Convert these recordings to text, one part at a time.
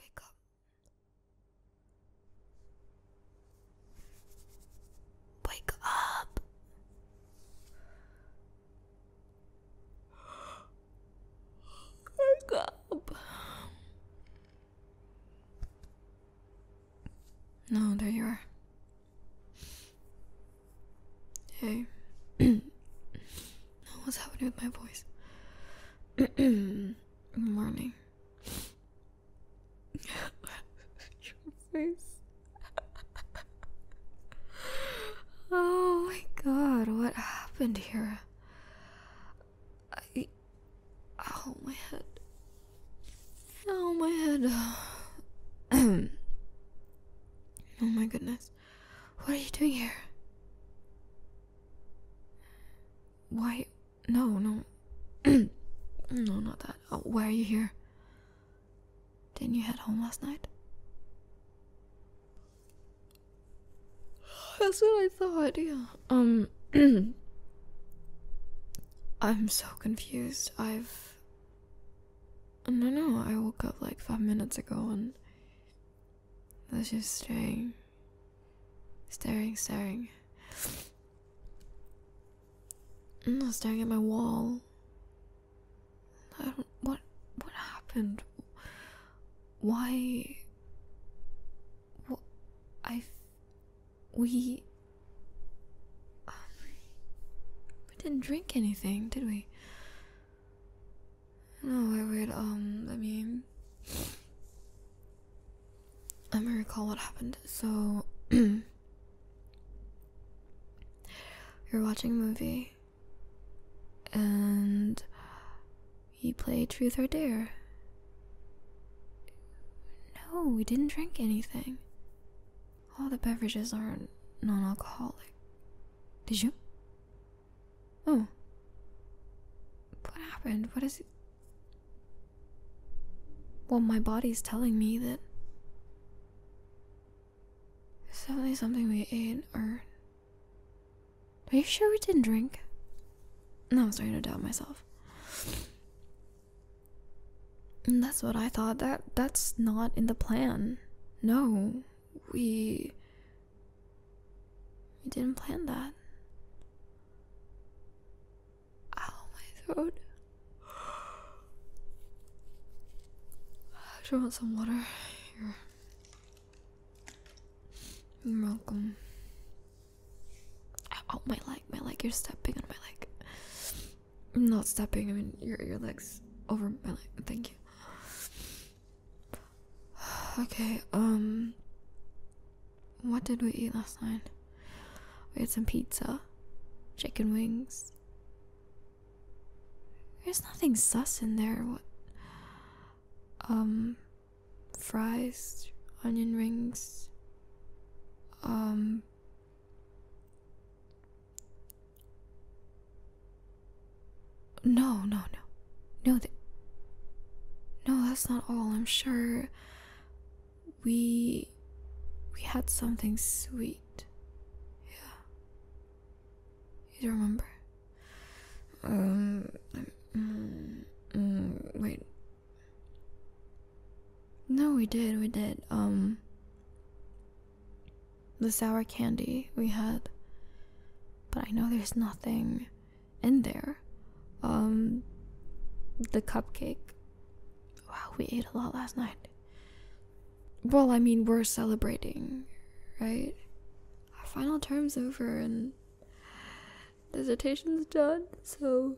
Wake up. Wake up. Wake up. No, there you are. Hey. What's happening with my voice? Morning. Your face. oh my god, what happened here? I. Ow, oh my head. Ow, oh my head. oh my goodness. What are you doing here? Why? No, no. no, not that. Oh, why are you here? Didn't you head home last night? That's what I thought, yeah. Um. I'm so confused. I've. No, no, I woke up like five minutes ago and. That's just strange. Staring, staring. i No, staring at my wall. I don't. What? What happened? Why? What? I. We. we didn't drink anything, did we? No, I would. um, let me. Let me recall what happened. So. You're watching a movie. And. You play Truth or Dare. No, we didn't drink anything. All the beverages are non alcoholic. Did you? Oh. What happened? What is Well, my body's telling me that it's definitely something we ate or. Are you sure we didn't drink? No, I'm starting to doubt myself. that's what I thought. That that's not in the plan. No, we. We didn't plan that. Ow, my throat. I you want some water? Here. You're welcome. Oh, my leg, my leg, you're stepping on my leg. I'm not stepping, I mean, your, your leg's over my leg. Thank you. Okay, um what did we eat last night? We had some pizza, chicken wings. There's nothing sus in there. What um fries, onion rings, um no, no, no. No, th no, that's not all. I'm sure we we had something sweet. Yeah. You don't remember? Um. Mm, mm, wait. No, we did. We did. Um. The sour candy we had. But I know there's nothing in there. Um, the cupcake. Wow, we ate a lot last night. Well, I mean, we're celebrating, right? Our final term's over and dissertation's done, so.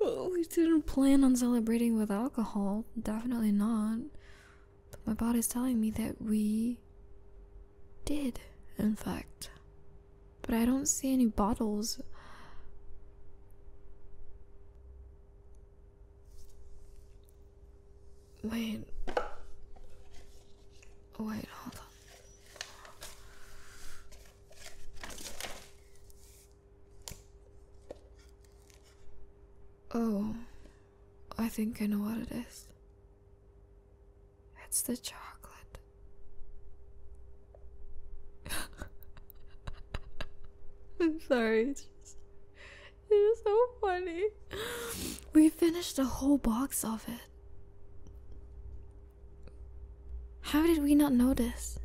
Oh, we didn't plan on celebrating with alcohol. Definitely not. But my body's telling me that we did, in fact. But I don't see any bottles. Wait. Wait, hold on. Oh, I think I know what it is. It's the chocolate. I'm sorry, it's just it is so funny. We finished a whole box of it. How did we not notice?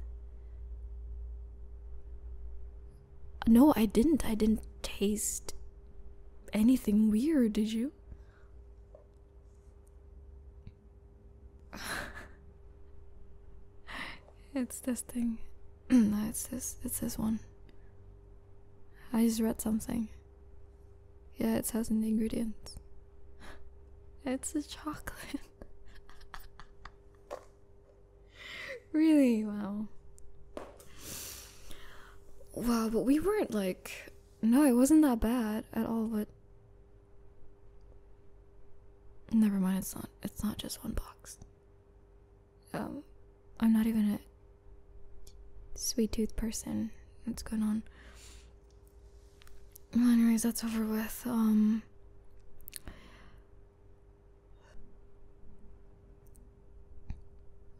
No, I didn't. I didn't taste anything weird, did you? it's this thing. no, it's this. It's this one. I just read something. Yeah, it says in the ingredients. It's a chocolate. really? Wow. Wow, but we weren't like. No, it wasn't that bad at all, but. Never mind, it's not. It's not just one box. Um, I'm not even a sweet tooth person. What's going on? Well, anyways, that's over with. Um,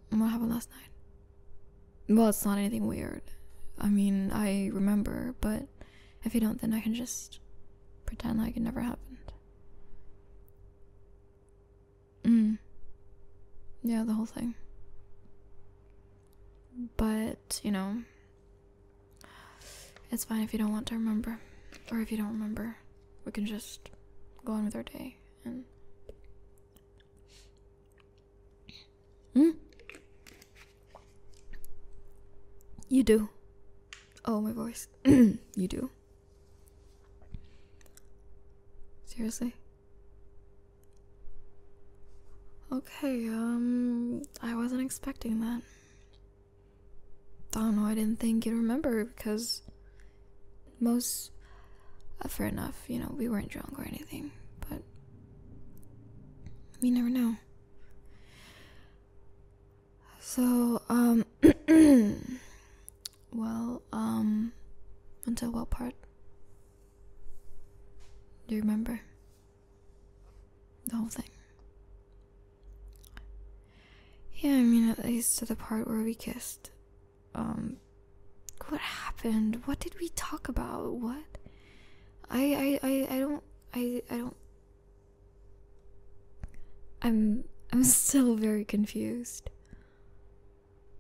what happened last night? Well, it's not anything weird. I mean, I remember, but if you don't, then I can just pretend like it never happened. Mm. Yeah, the whole thing. But, you know, it's fine if you don't want to remember. Or if you don't remember, we can just go on with our day and hmm? you do oh my voice you do seriously okay um i wasn't expecting that I don't know, I didn't think you'd remember because most uh, fair enough you know we weren't drunk or anything but we never know so um well um until what part do you remember the whole thing yeah i mean at least to the part where we kissed um what happened? What did we talk about? What? I I I, I don't I I don't I'm I'm still very confused.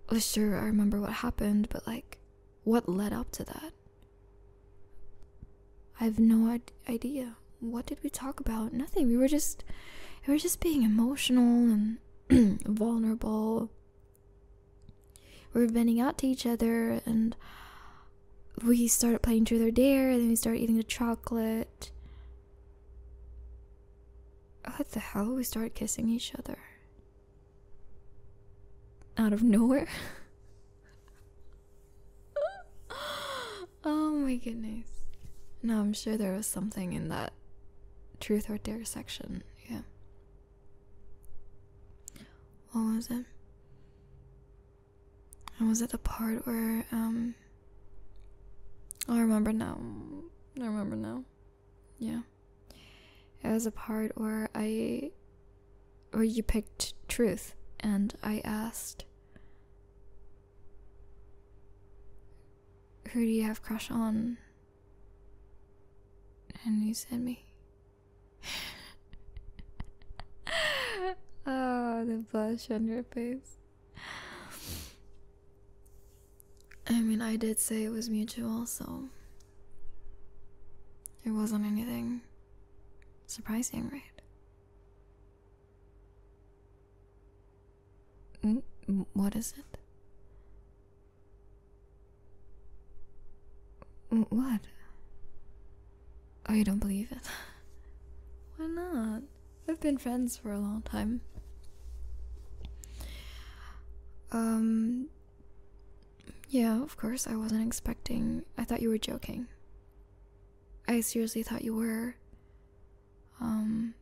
Well, oh, sure, I remember what happened, but like what led up to that? I have no idea. What did we talk about? Nothing. We were just we were just being emotional and vulnerable. We are bending out to each other, and we start playing Truth or Dare, and then we start eating the chocolate. What the hell? We start kissing each other out of nowhere. oh my goodness. No, I'm sure there was something in that truth or dare section. Yeah. What was it? And was it the part where um I remember now. I remember now. Yeah. It was a part where I where you picked truth and I asked who do you have crush on? And you said me. oh, the blush on your face. I mean, I did say it was mutual, so it wasn't anything surprising, right? What is it? What? Oh, you don't believe it? Why not? We've been friends for a long time. Um. Yeah, of course, I wasn't expecting. I thought you were joking. I seriously thought you were. Um,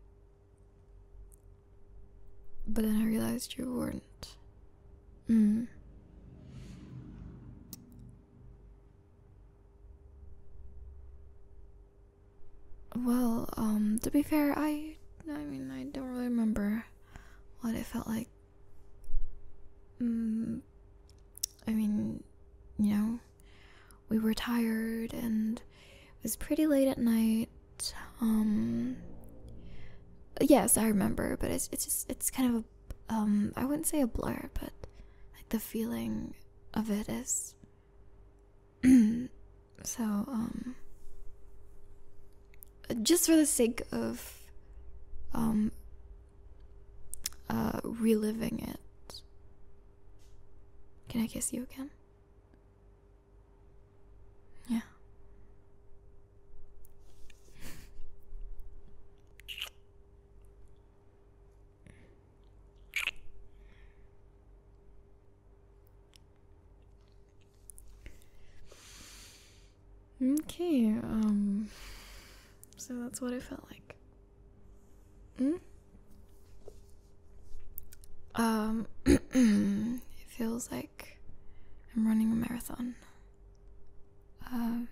but then I realized you weren't. Mm. Well, um, to be fair, I I mean, I don't really remember what it felt like. Mm, I mean, you know, we were tired and it was pretty late at night um, yes i remember but it's it's just it's kind of a um, wouldn't say a blur but like the feeling of it is so um, just for the sake of uh, reliving it can i kiss you again yeah. Okay, um, so that's what it felt like. Mm? Um, it feels like I'm running a marathon. Um,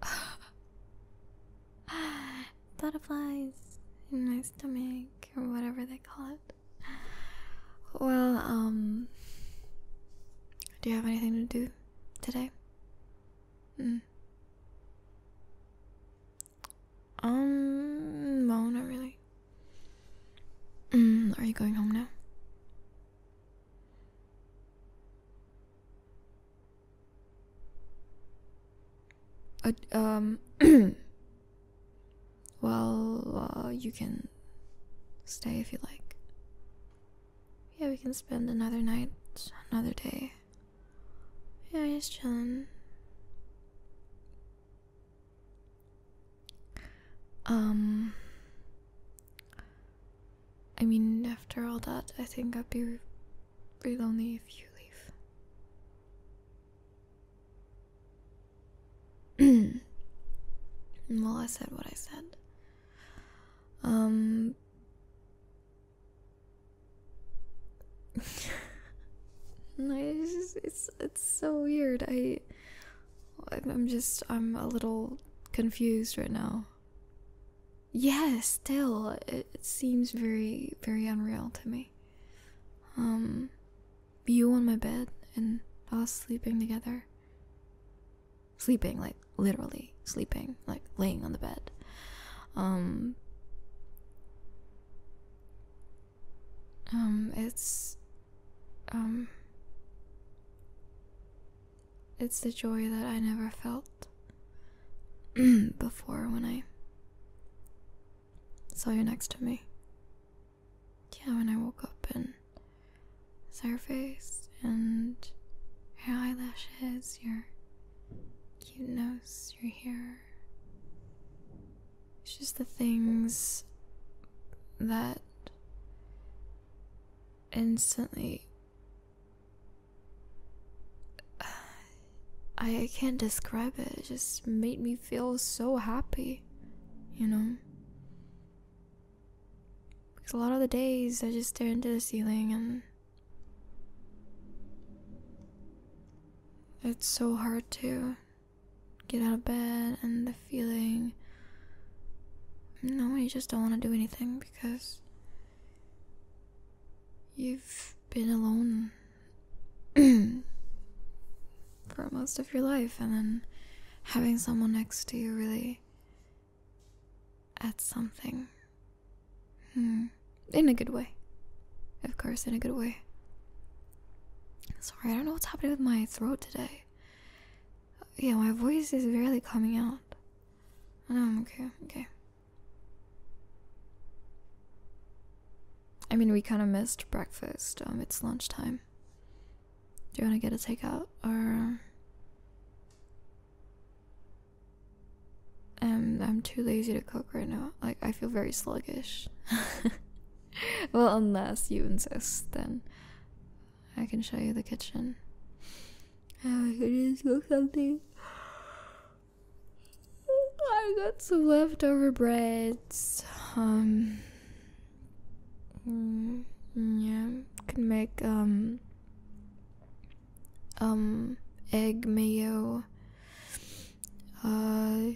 butterflies in my stomach, or whatever they call it. Well, um, do you have anything to do today? Mm. Um, no, not really. Hmm, are you going home now? Uh, um, well, uh, you can stay if you like. Yeah, we can spend another night, another day. Yeah, he's chilling. Um, I mean, after all that, I think I'd be really lonely if you leave. well, I said what I said. Um, it's, it's it's so weird. I I'm just I'm a little confused right now. Yeah, still it seems very very unreal to me. Um, you on my bed and us sleeping together. Sleeping like literally sleeping, like laying on the bed. Um, um, it's, um, it's the joy that I never felt before when I saw you next to me. Yeah, when I woke up and saw your face and your eyelashes, your cute nose, are here. It's just the things that instantly. I can't describe it. It just made me feel so happy, you know? Because a lot of the days I just stare into the ceiling and it's so hard to get out of bed and the feeling no, you just don't want to do anything because you've been alone for most of your life, and then having someone next to you really adds something Hmm. In a good way. Of course, in a good way. Sorry, I don't know what's happening with my throat today. Yeah, my voice is barely coming out. I oh, I'm know okay, okay. I mean, we kind of missed breakfast. Um, it's lunchtime. Do you want to get a takeout or? Um, um, I'm too lazy to cook right now. Like, I feel very sluggish. well, unless you insist, then I can show you the kitchen. Oh, I could just cook something. I got some leftover breads. Um, mm, yeah, can make um um, egg mayo, uh,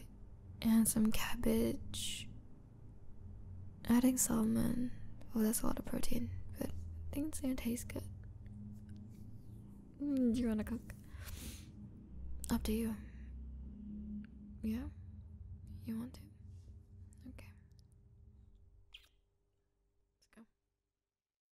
and some cabbage. Adding salmon. Oh, that's a lot of protein, but I think it's gonna taste good. Mm, do you wanna cook? Up to you. Yeah? You want to? Okay. Let's go.